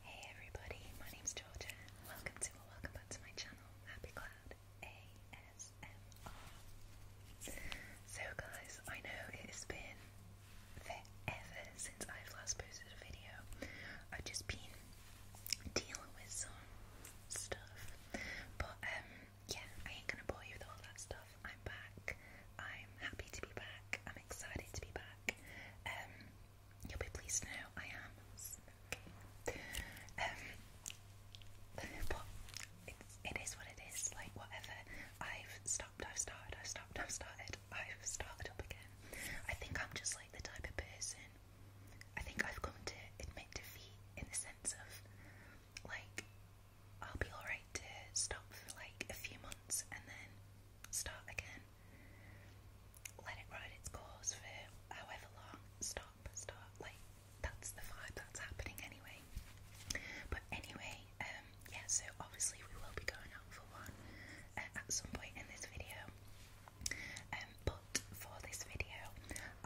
Hey everybody, my name is Georgia. Welcome to or welcome back to my channel, Happy Cloud ASMR. So guys, I know it's been forever since I've last posted a video. I've just been dealing with some stuff. But um, yeah, I ain't gonna bore you with all that stuff. I'm back. I'm happy to be back. I'm excited to be back. Um, You'll be pleased to know I am Um, but it's, it is what it is. Like whatever. I've stopped. I've started. I've stopped. I've started. I've started up again. I think I'm just like the type of person. I think I've come to admit defeat in the sense of like I'll be alright to stop for like a few months and then start again let it ride its course for however long. Stop, stop. Like that's the vibe that's happening anyway. But anyway, um, yeah. So obviously we will be going out for one uh, at some point in this video. Um, but for this video,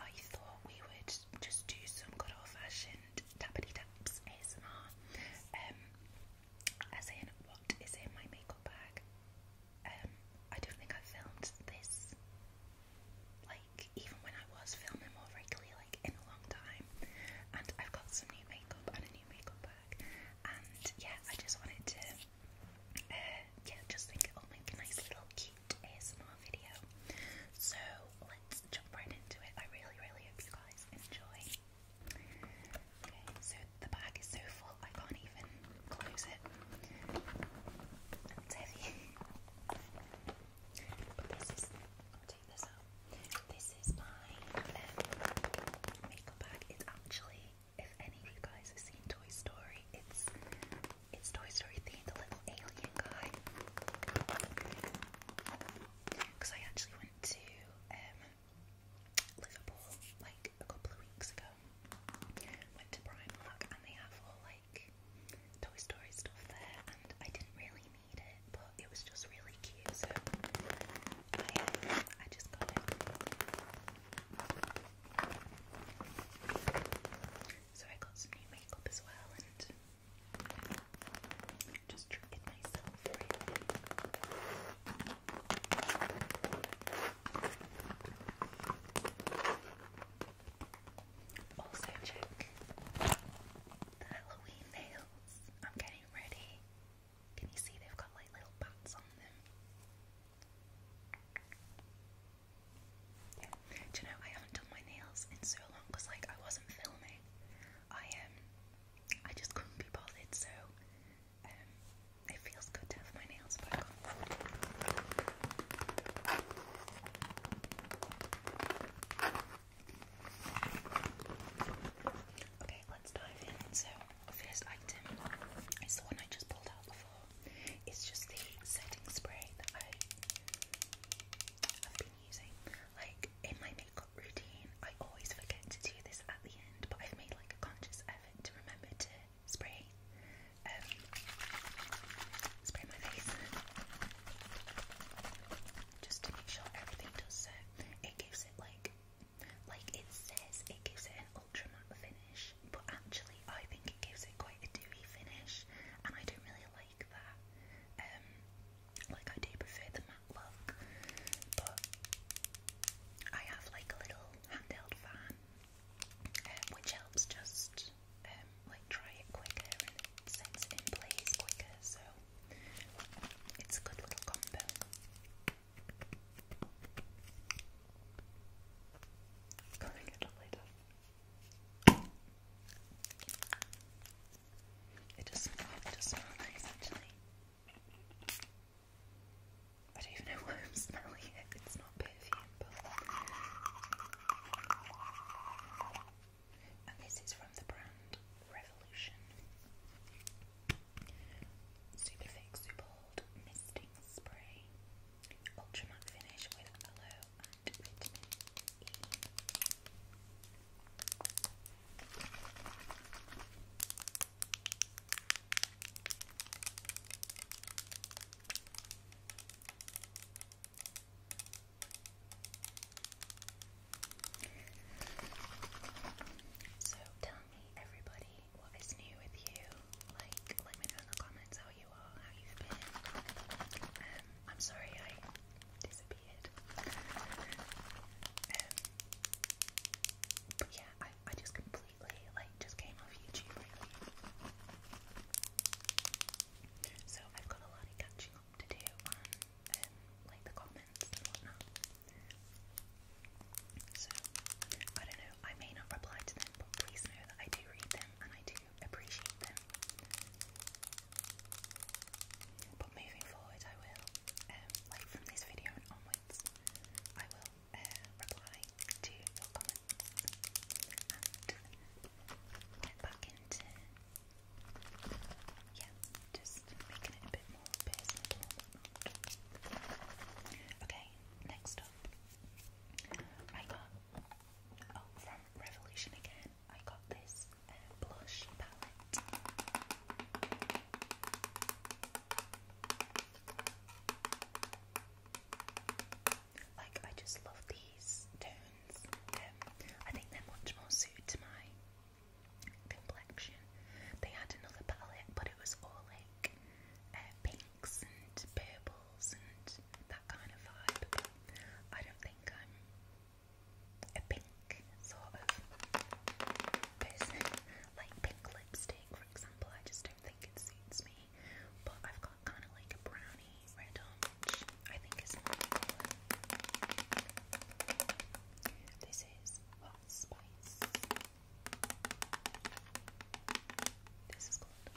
I thought we would just do some good old fashioned tappity taps ASMR. Um, as in what is in my makeup bag. Um, I don't think I filmed this, like, even when I was filming more regularly, like, in a long time. And I've got some new makeup and a new makeup bag. And yeah, I just wanted to, uh, yeah, just think it'll make little cute ASMR video. So let's jump right into it. I really, really hope you guys enjoy so the bag is so full I can't even close it but this is, I'll take this out this is my um, makeup bag, it's actually if any of you guys have seen Toy Story, it's it's Toy Story themed, a little alien guy. Because I actually went to um, Liverpool like a couple of weeks ago. Went to Primark and they have all like Toy Story stuff there, and I didn't really need it, but it was just really cute, so I, um, just got it. So I got some new makeup as well, and just treated myself. Also check the Halloween nails. I'm getting ready. Can you see they've got like little bats on them? Do you know I haven't done my nails in so long because like I wasn't filming. I um I just couldn't be bothered so it feels good to have my nails back on. Okay, let's dive in. So, first item is the one I just pulled out before. It's just the setting spray that I have been using. Like in my makeup routine, I always forget to do this at the end, but I've made like a conscious effort to remember to spray, um, spray my face just to make sure everything does so. It gives it like, like it says, it gives it an ultra matte finish, but actually I think it gives it quite a dewy finish, and I don't really like that. Um, like I do prefer the matte look, I have like a little handheld fan, um, which helps just um, like dry it quicker and it sets in place quicker. So it's a good little combo. Coloring it up later. It does smell. nice actually. I don't even know why I'm smelling it. It's not perfume, And this is from the brand Revolution. Super thick, misting spray. Ultra matte finish with aloe and vitamin E. So tell me, everybody, what is new with you? Like, let me know in the comments how you are, how you've been. Um, I'm sorry I disappeared. Um, but yeah, I I just completely like just came off YouTube lately. So I've got a lot of catching up to do um, like the comments and whatnot. So I don't know, I may not reply to them, but please know that I do read them and I do appreciate them. But moving forward I will. Um, like from this video onwards. I will uh, reply to your comments and get back into yeah, just making it a bit more personable. Okay, next up, I got oh from Revolution again. I got this uh, blush palette. Like, I just love these tones. Um, I think they're much more suited to my complexion. They had another palette, but it was all like uh, pinks and purples and that kind of vibe. I don't think I'm a pink sort of person like pink lipstick, for example. I just don't think it suits me. But I've got kind of like a brownie red which I think is really This is Hot Spice. This is called.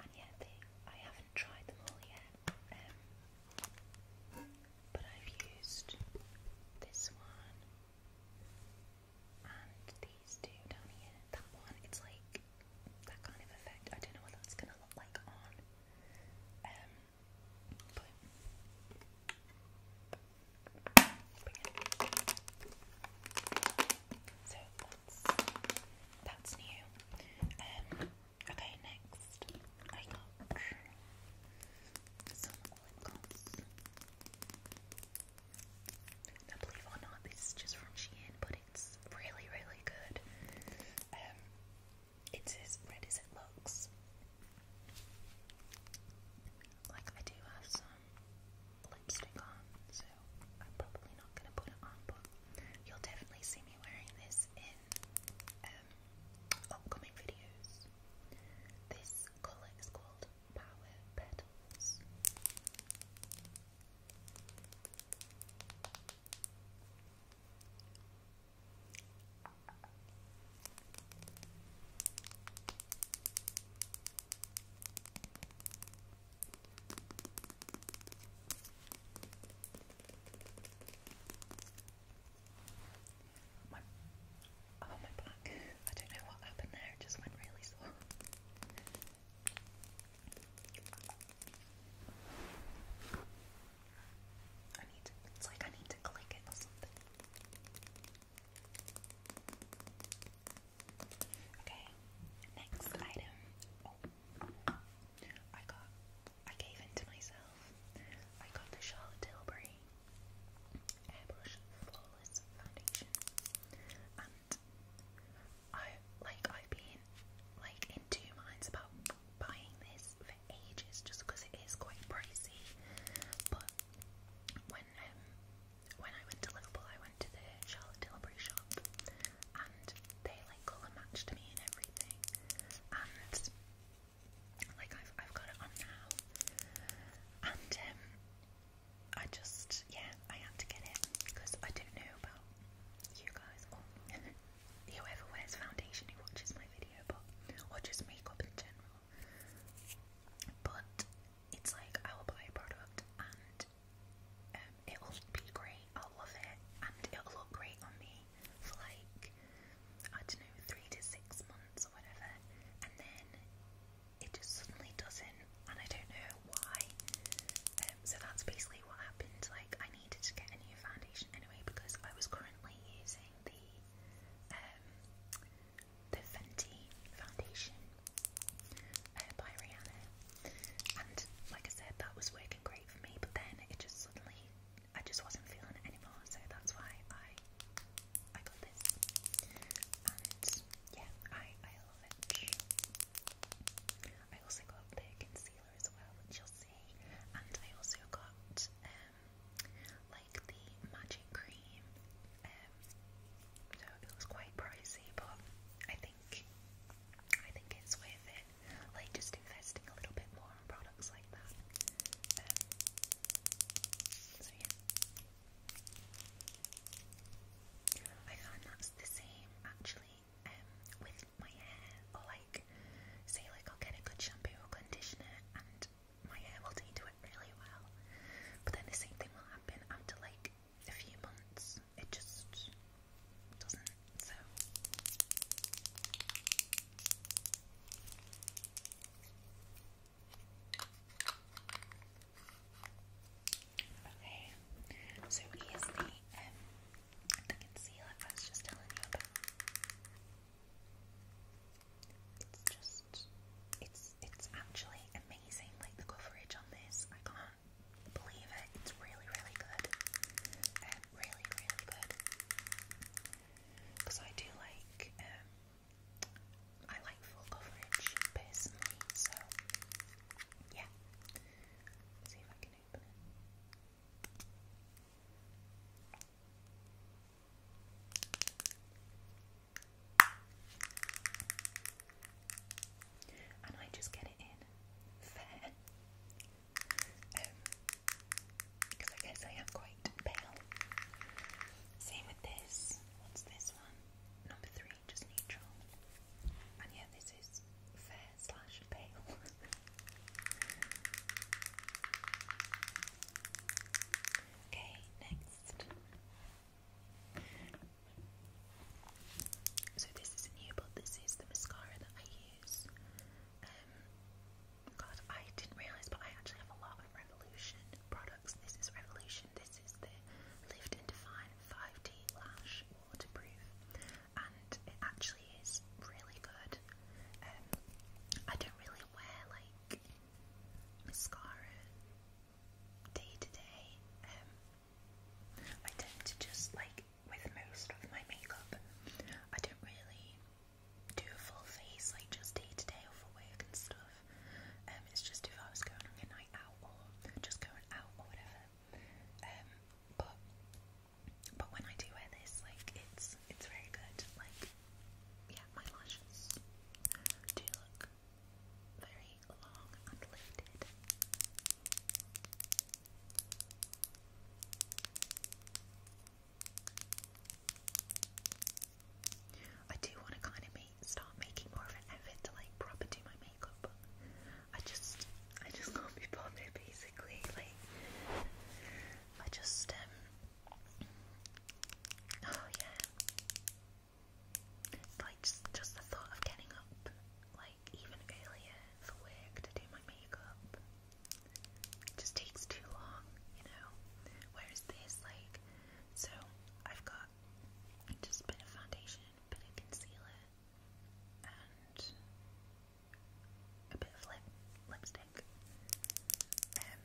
And yeah, I have tried them all yet, um, but I've used this one and these two down here. That one, it's like that kind of effect. I don't know what that's gonna look like on, um, So that's new. Um, Okay, next I got some lip gloss. Now, believe it or not, this is just from Shein, but it's really, really good. Um, it's as red as it looks. Like, I do have some lipstick on, so I'm probably not gonna put it on, but you'll definitely see me wearing this this in um, upcoming videos. This colour is called Power Petals. My, oh my back. I don't know what happened there, it just went really sore. I need to, it's like I need to click it or something. Okay, next item. Oh. I got, I gave in to myself. I got the Charlotte Tilbury Airbrush Flawless Foundation, and I like I've been like in two minds about buying this for ages, just because it is quite pricey. But when um, when I went to Liverpool, I went to the Charlotte Tilbury shop, and they like colour matched me and everything. And um, like I've I've got it on now. And um, I just yeah, I had to get it because I don't know about you guys or whoever wears foundation who watches my video but or just makeup in general. But it's like I will buy a product and um, it'll be great. I'll love it, and it'll look great on me for like I don't know, three to six months or whatever, and then it just suddenly doesn't, and I don't know why. Um, so that's basically what happened. Like I needed to get a new foundation anyway because I was currently using the um, the Fenty foundation uh, by Rihanna, and like I said, that was working great great for me, but then it just suddenly I just wasn't feeling it anymore, so that's why I I got this. And yeah, I I love it. I also got the concealer as well, which you'll see, and I also got um like the magic cream. Um, so it was quite pricey, but I think I think it's worth it it. Like just investing a little bit more on products like that. Um, so yeah. I found that's the same actually um, with my hair. Or like, say like I'll get a good shampoo or conditioner and my hair will take to it really well. But then the same thing will happen after like a few months it just doesn't. So okay, so here's the um the concealer I was just telling you about. It's just it's it's actually amazing like the coverage on this. I can't believe it. It's really, really good. really, really good. Because I do like, um, I like full coverage personally, so yeah. see if I can open it. And I just get it in fair because um, I guess I am quite pale. Same with this. What's this one? Number three, just neutral. And yeah, this is fair slash pale. okay, next. So this is new, but this is the mascara that I use these. Um, God, I didn't realise, but I actually have a lot of Revolution products. This is Revolution. This is the Lift and Define 5D Lash Waterproof, and it actually is really good. Um, I don't really wear like mascara day to day. Um, I tend to just like with most of my makeup, I don't really do a full face, like just day to day for work and stuff. Um, it's just if I was going on a night out or just going out or whatever. Um, but but when I do wear this, like it's it's very good. Like yeah, my lashes do look very long and lifted. I do want to kind of start making more of an effort to like proper do my makeup. I just, I just can't be bothered basically. Like, I just, um, oh yeah. Like, just, just the thought of getting up, like, like even earlier for work to do my makeup. It just takes too long, you know. Whereas this, like, so I've got just a bit of foundation, a bit of concealer, and a bit of lip lipstick. Um,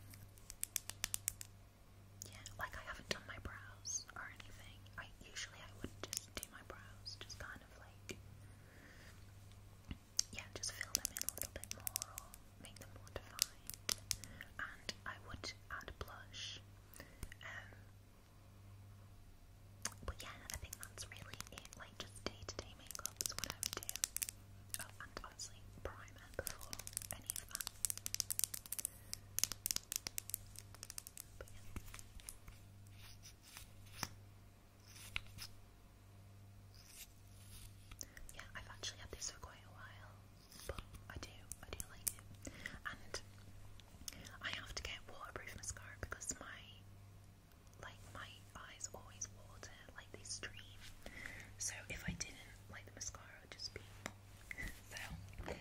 yeah, like I haven't done my brows or anything. I usually I would just do my brows, just kind of like yeah, just fill them in a little bit more or make them more defined. And I would add blush. Um, but yeah, I think that's really it. Like just day to day makeup is what I would do. Oh, and obviously primer before any of that. But yeah. Yeah, I've actually had this for quite a while, but I do, I do like it. And I have to get waterproof mascara because my, like, my eyes always water, like they stream. So if I didn't like the mascara, would just be so.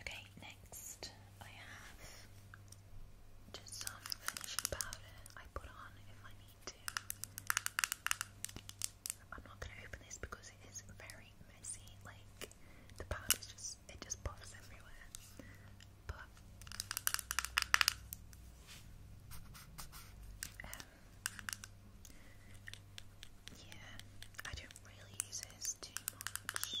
Okay, next I have just some finishing powder I put on if I need to. I'm not gonna open this because it is very messy, like the powder just it just puffs everywhere. But um, yeah, I don't really use this too much.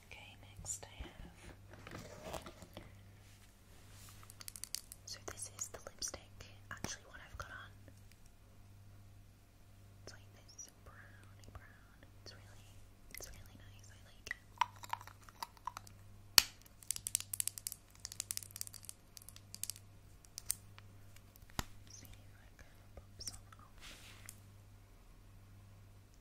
Okay, next I have. So this is the lipstick. Actually, what I've got on. It's like this browny brown. It's really, it's really nice. I like it. See if I can pop some off.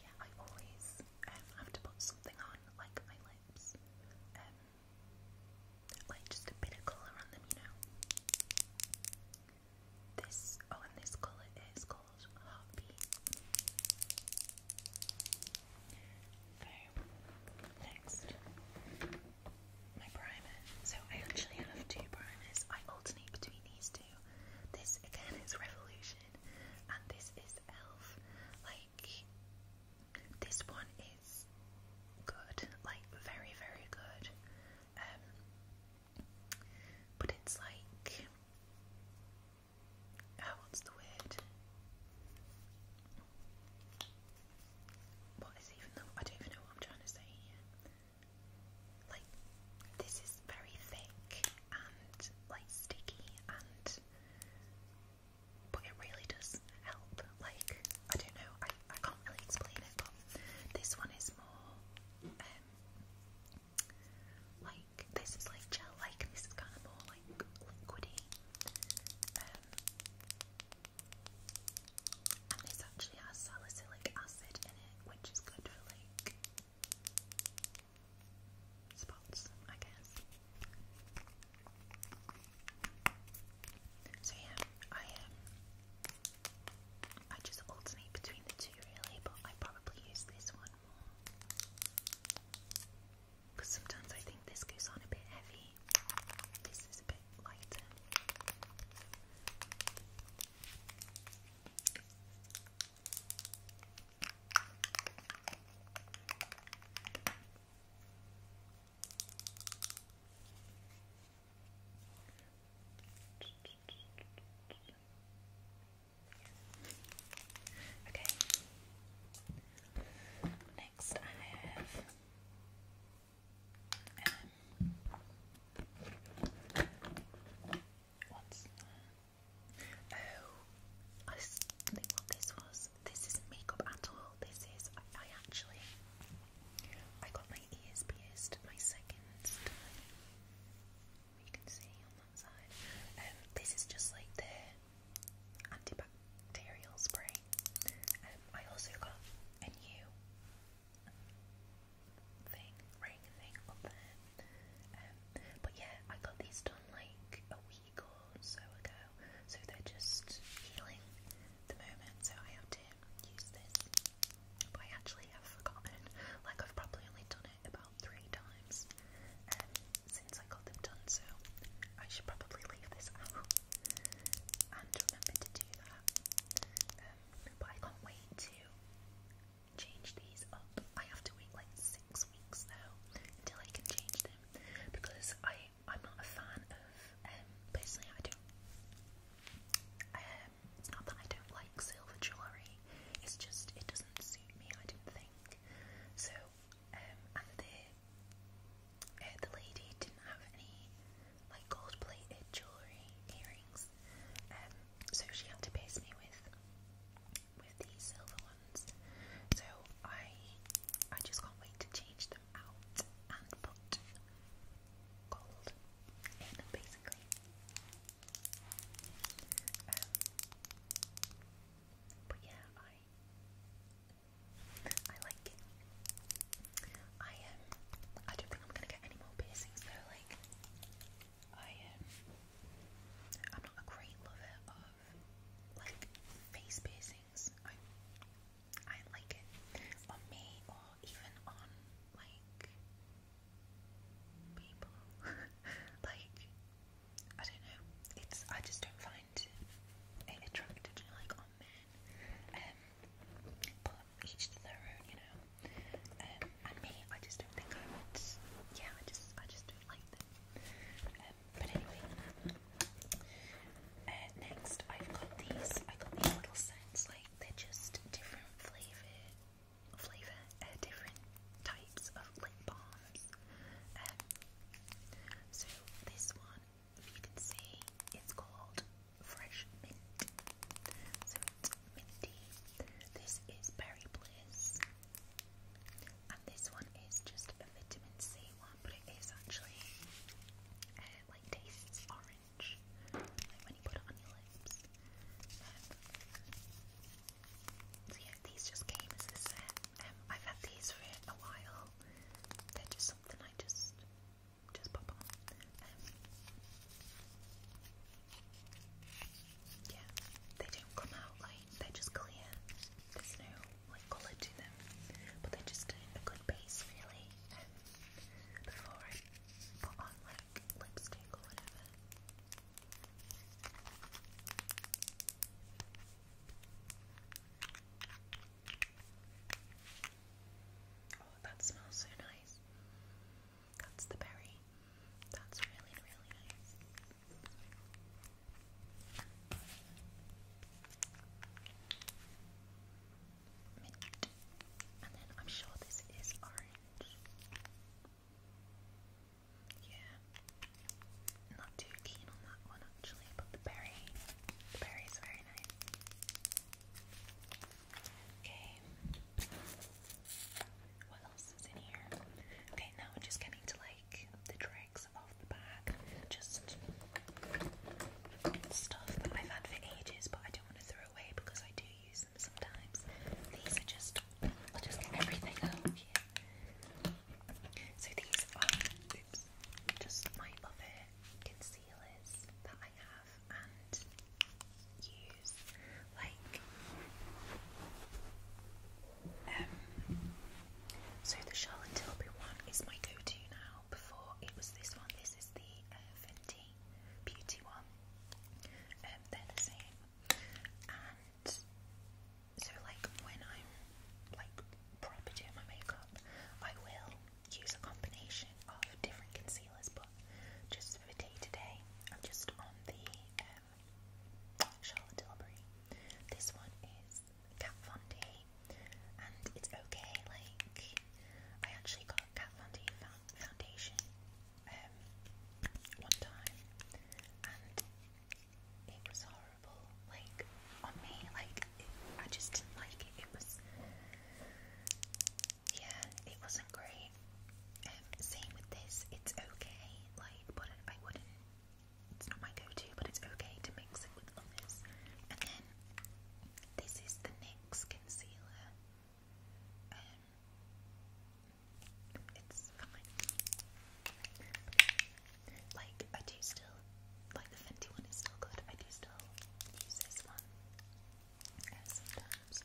Yeah, I always um, have to put something on, like my lips. Um, like just a bit of colour on them, you know. This, oh, and this colour is called Heartbeat. So, next, my primer. So, I actually have two primers. I alternate between these two. This again is Revolution, and this is Elf. Like, this one is good, like, very, very good. Um, but it's like, oh, what's the word? What is even though I don't even know what I'm trying to say here like this is very thick and like sticky and but it really does help. Like I don't know, I, I can't really explain it, but this one is more um like this is like gel like and this is kind of more like liquidy. Um, and this actually has salicylic acid in it, which is good for like spots, I guess. So yeah, I um, I just alternate between the two really, but I probably use this one more because sometimes I think this goes on a bit heavy. This is a bit lighter. Okay. Next, I have um, Oh, I think what this was. This isn't makeup at all. This is, I, actually, I got my ears pierced my second time. You can see on that side. Um, this is just like the antibacterial spray. Um, I also got a new thing, ring thing on there. Um, but yeah, I got these done like a week or so ago, so they're just healing the moment, so I have to use this. But I actually have forgotten, like, I've probably only done it about three times um, since I got them done, so I should probably leave this out and remember to do that. Um, but I can't wait to change these up. I have to wait like six weeks now until I can change them because I I'm not a fan of um personally I don't um it's not that I don't like silver jewellery, it's just it doesn't suit me I don't think. So um and the uh, the lady didn't have any like gold plated jewellery, earrings um, so she had to pierce me with with these silver ones. So I I just can't wait to change them out and put gold in basically. Um, but yeah, I I like it. I um I don't think I'm gonna get any more piercings though, like I am. I'm not a great lover of like face piercings. I I like it on me or even on like people. like I don't know. It's I just don't find it attractive like on men. Um, each to their own, you know. Um, and me, I just don't think I would. Yeah, I just, I just don't like them. Um, but anyway, uh, next I've got these. I got these little scents. Like they're just different flavor, flavor, uh, different types of lip balms. Um, so this one, if you can see, it's called fresh mint. So Minty. This is Berry Bliss. And this one is just a vitamin C one, but it is actually uh, like tastes orange. Like when you put it on your lips. Um, so yeah, these just came as a set. Um, I've had these for a while. They're just something I just just pop on. Yeah, they don't come out like they're just clear. There's no like colour to them, but they're just a, a good base really. Um, before I put on like lipstick or whatever. Oh, that smells so nice. That's the berry. That's really, really nice. Mint. And then I'm sure this is orange. Yeah. Not too keen on that one actually, but the berry. The berry is very nice. Okay. What else is in here? Okay, now we're just getting to like the dregs of the bag. Just stuff that I've had for ages, but I don't want to throw away because I do use them sometimes. These are just, I'll just get everything out of here. So these are, oops, just my other concealers that I have and use like um so the Charlotte Tilbury one is my go-to now. Before it was this one, this is the uh, Fenty Beauty one. Um, they're the same. And so like when I'm like proper doing my makeup, I will use a combination of different concealers, just for tea today, I'm just on the um, Charlotte Tilbury. This one is Kat and it's okay. Like I actually got a foundation um, one time, and it was horrible. Like on me, like I just didn't like it. It was yeah, it wasn't great. Um, same with this, it's okay, like, I wouldn't, it's not my go-to, but it's okay to mix it with others. And then, this is the NYX concealer. Um, it's fine. Like, I do still, like the Fenty one is still good, I do still use this one. Uh, sometimes.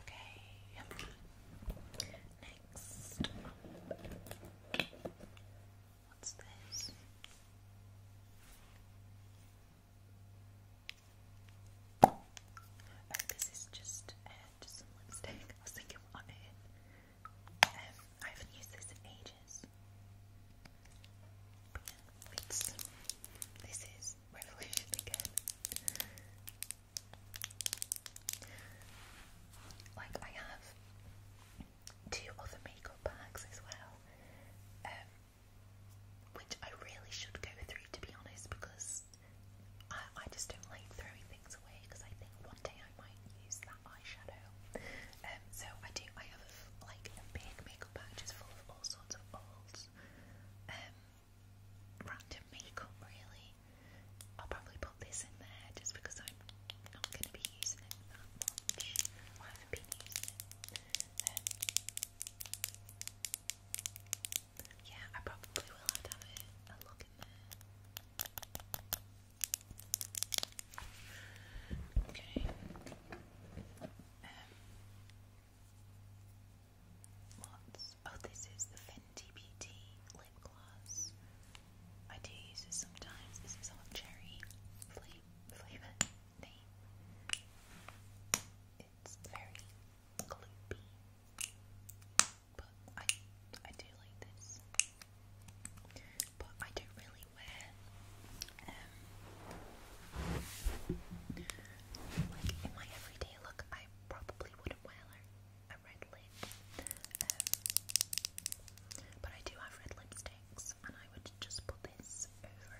Okay. Next. What's this? Oh, this is just uh, just some lipstick. I was thinking, what it? Um, I haven't used this in ages. But yeah, this is revolution again. Like I have two other makeup bags as well, um, which I really should go through to be honest, because I, I just don't like throwing things away. Because I think one day I might use that eyeshadow. Um, so I do. I have like a big makeup bag just full of all sorts of old um, random makeup really. I'll probably put this in there just because I'm not going to be using it that much. Well, I haven't been using it. Um, yeah, I probably will have to have a, a look in there. Okay. Um, Lots. Oh, this is the Fenty Beauty lip gloss. I do use this sometimes. This is on cherry flavor It's very gloopy, but I I do like this. But I don't really wear um like in my everyday look. I probably wouldn't wear a red lip. Um, but I do have red lipsticks, and I would just put this over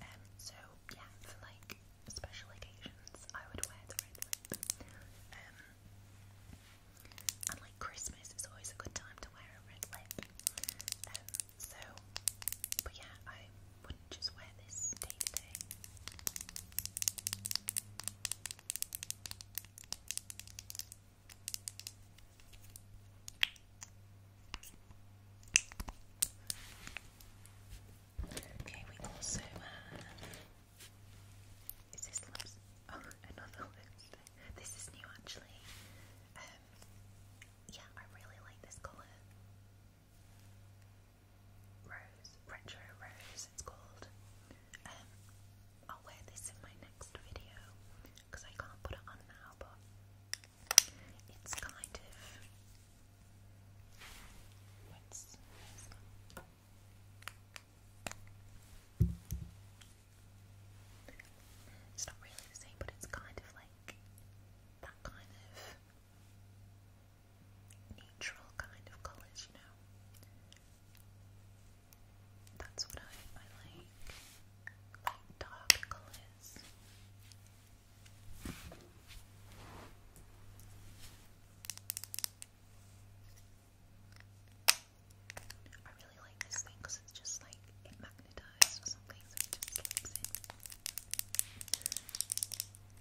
um, so yeah, for like special occasions, I would wear the red lip. Um, and like Christmas is always a good time to wear a red lip. so, but yeah, I wouldn't just wear this day to day. Okay, we also Is this lips? Oh, another lipstick. This is new actually. Um, yeah, I really like this colour. Rose, Retro Rose it's called. Um, I'll wear this in my next video because I can't put it on now, but it's kind of. It's not really the same, but it's kind of like that kind of neutral kind of colours, you know. That's what I, like. Like dark colours. I really like this thing because it's just like magnetised or something, it just slips in.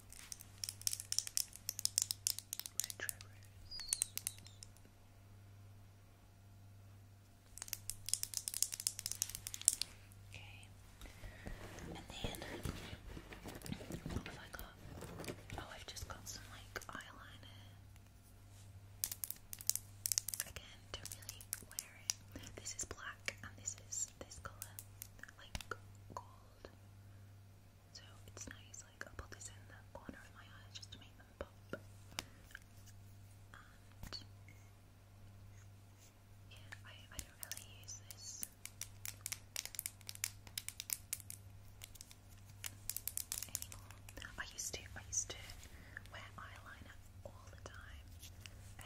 My Trevor's. Okay. And then what have I got? Oh, I've just got some like eyeliner. Again, don't really wear it. This is black and this is this colour. Like gold so it's nice, like i put this in the corner of my eye just to make them pop. yeah, I, I don't really use this. Anymore. I used to I used to wear eyeliner all the time. Um,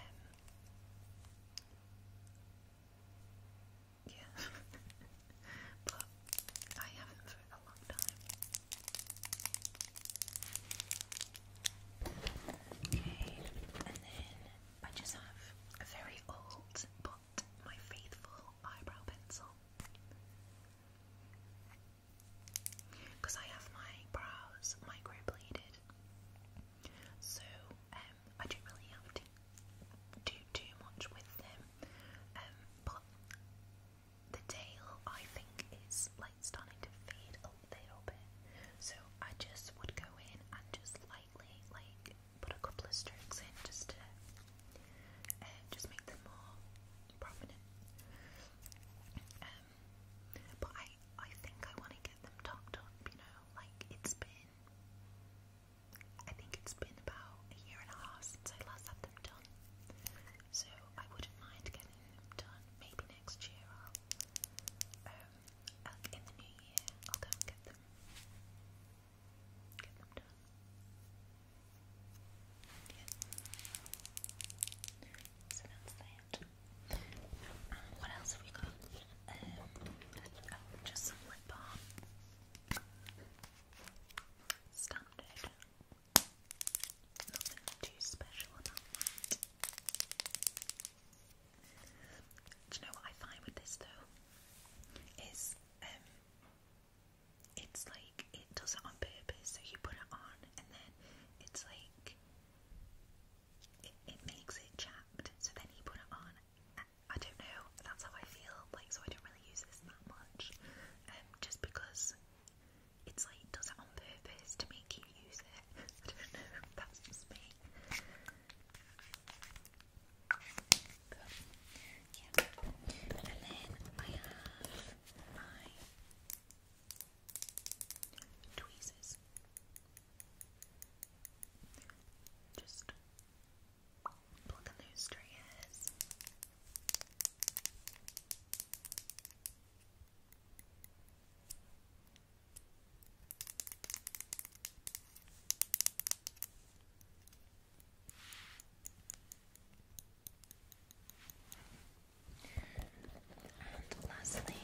yeah, but I haven't for a long time. Okay, and then I just have a very old but my faithful eyebrow pencil. Because I have my brows microbladed, so um, I don't really have to do too much with them, um, but the tail I think is like starting to fade a little bit, so I just would go in and just lightly like put a couple of strokes in just to uh, just make them more prominent. Um, but I I think I want to get them topped up, you know, like it's been I think it's been about a year and a half since I last had them done, so I wouldn't mind getting them done. Maybe next year um, i in the new year, I'll go and get them, get them done. Yeah. So that's that. Um, what else have we got? Um, just some lip balm. Standard. Nothing too special about that. Do you know what I find with this though? Is um it's like it does it on purpose, so you put it on and then it's like it makes it chapped, so then you put it on I don't know, that's how I feel, like, so I don't really use this that much, um, just because it's like, does it on purpose to make you use it, I don't know, that's just me. and then I have my tweezers. Just Look at those trees. And lastly,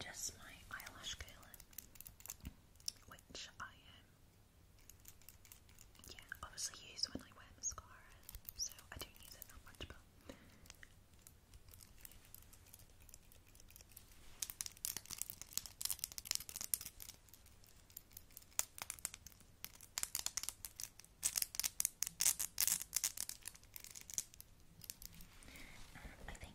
just my eyelash curler which I um, yeah, obviously use when I wear mascara, so I don't use it that much, but. And I think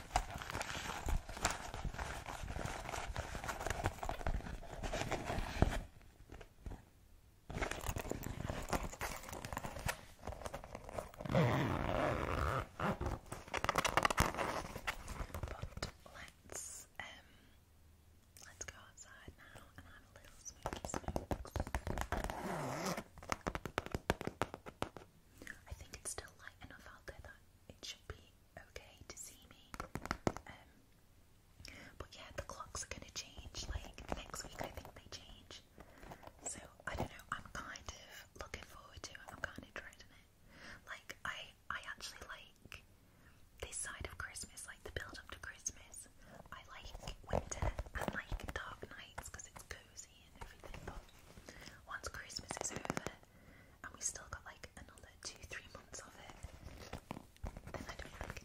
let's um let's go outside now and have a little smoky smoke. I think it's still light enough out there that it should be okay to see me. Um, but yeah, the clocks are going to change. Like next week, I think they change. So I don't know. I'm kind of looking forward to it. I'm kind of dreading it. Like I, I actually like this side of Christmas, like the build up to Christmas. I like winter and like dark nights because it's cozy and everything. But once Christmas is over, and we still got like another two, three months of it. Then I don't like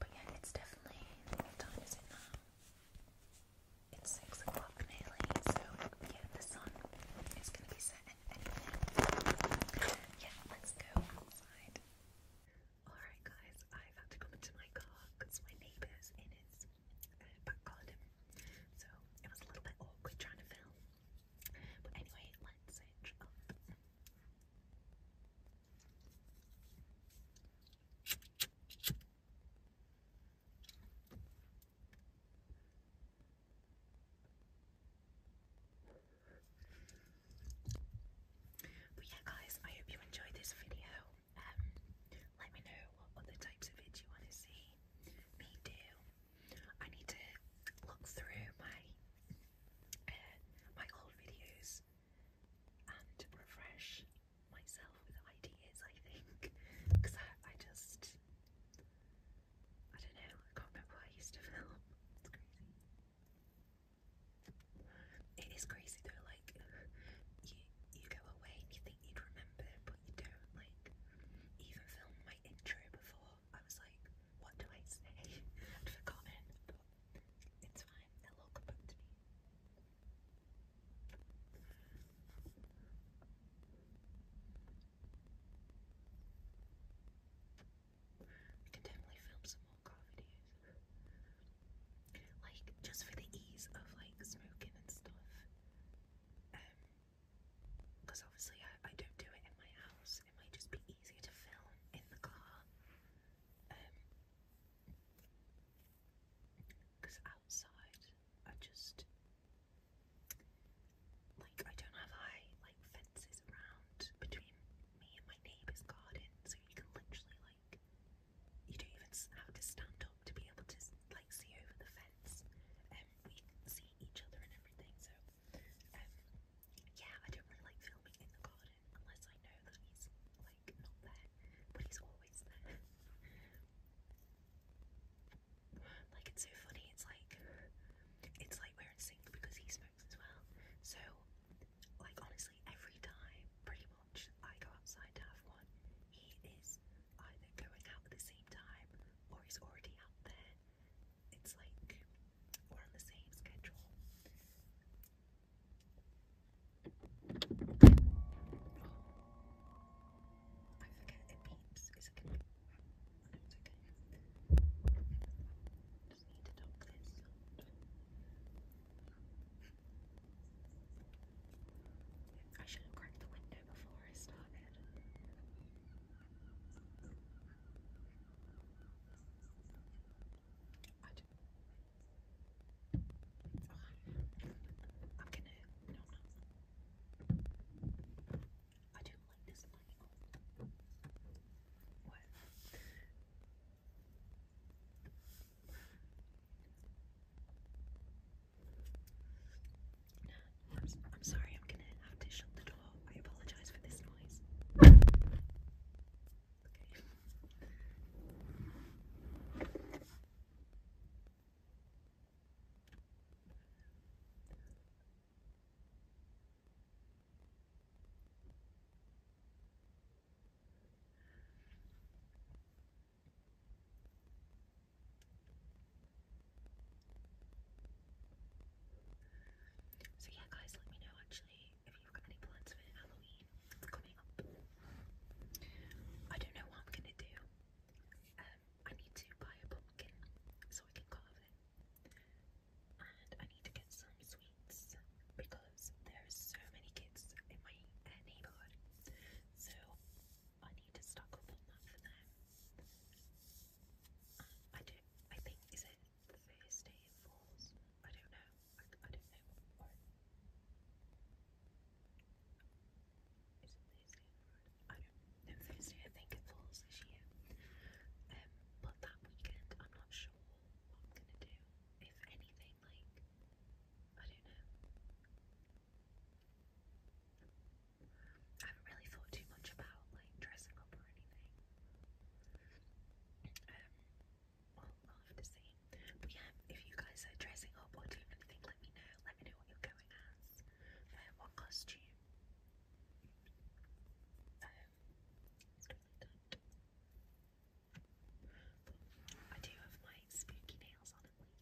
But yeah, it's definitely time is it now? It's six o'clock nearly, so yeah, the sun is gonna be setting anything. Yeah, let's go outside. Alright guys, I've had to come into my car because my neighbour's in his so it was a little bit awkward trying to film. But anyway, let's But yeah guys, I hope you enjoyed this video. Um, let me know what other types of vids you want to see me do. I need to look through my uh, my old videos and refresh myself with ideas. I think because I, I just I don't know. I can't remember what I used to film. It's crazy. It is crazy though. Like you you go away and you think you'd remember, but you don't. Like even filmed my intro before. I was like, what do I say? I'd forgotten, but it's fine. They'll all come to me. I can definitely film some more car videos. Like, just for the ease of like smoking and stuff. Um, because obviously I, I don't do it in my house. It might just be easier to film in the car. Because um, outside I just like I don't have high like fences around between me and my neighbour's garden, so you can literally like you don't even have to stand up to be able to like see over the fence. Um, um, we see each other and everything. So, um, yeah, I don't really like filming in the garden unless I know that he's like not there, but he's always there. like it's so funny. It's like it's like we're in sync because he smokes as well. So, like honestly, every time pretty much I go outside to have one, he is either going out at the same time or he's already out there. It's like we're on the same schedule. Oh, it beeps. It's okay. it's okay. Just need to dump this. I should have cracked the window before I started. I do. I'm gonna. I don't like this light. What? I'm, sorry, I'm gonna have to shut the door. I apologize for this noise. So yeah guys, let me know actually if you've got any plans for Halloween coming up. I don't know what I'm gonna do. Um I need to buy a pumpkin so I can carve it. And I need to get some sweets because there are so many kids in my neighborhood. So I need to stock up on that for them. I do I think is it the first day I don't know. I, I don't is it Thursday? I don't. No, Thursday. I think it falls this year. Um, but that weekend, I'm not sure what I'm gonna do. If anything, like I don't know. I haven't really thought too much about like dressing up or anything. Um, I'll have to see. But yeah, if you guys are dressing up or doing anything, let me know. Let me know what you're going as. Um, what costume? Um, I do have my spooky nails on at least.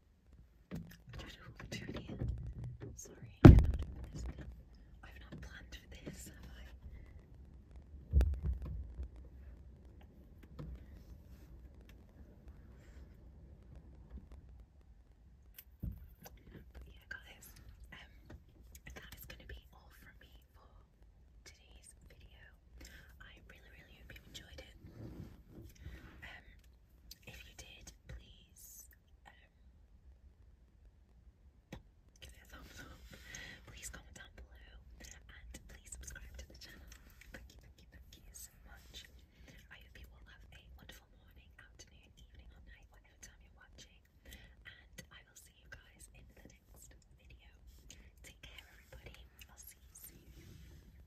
I Sorry, i have not planned for this, I? But yeah, guys, that is going to be all from me for today's video. I really, really hope you enjoyed it. If you did, please um, give it a thumbs up. Please comment down below and please subscribe to the channel. Thank you, thank you, thank you so much. I hope you all have a wonderful morning, afternoon, evening, or night, whatever time you're watching. And I will see you guys in the next video. Take care, everybody. I'll see you soon.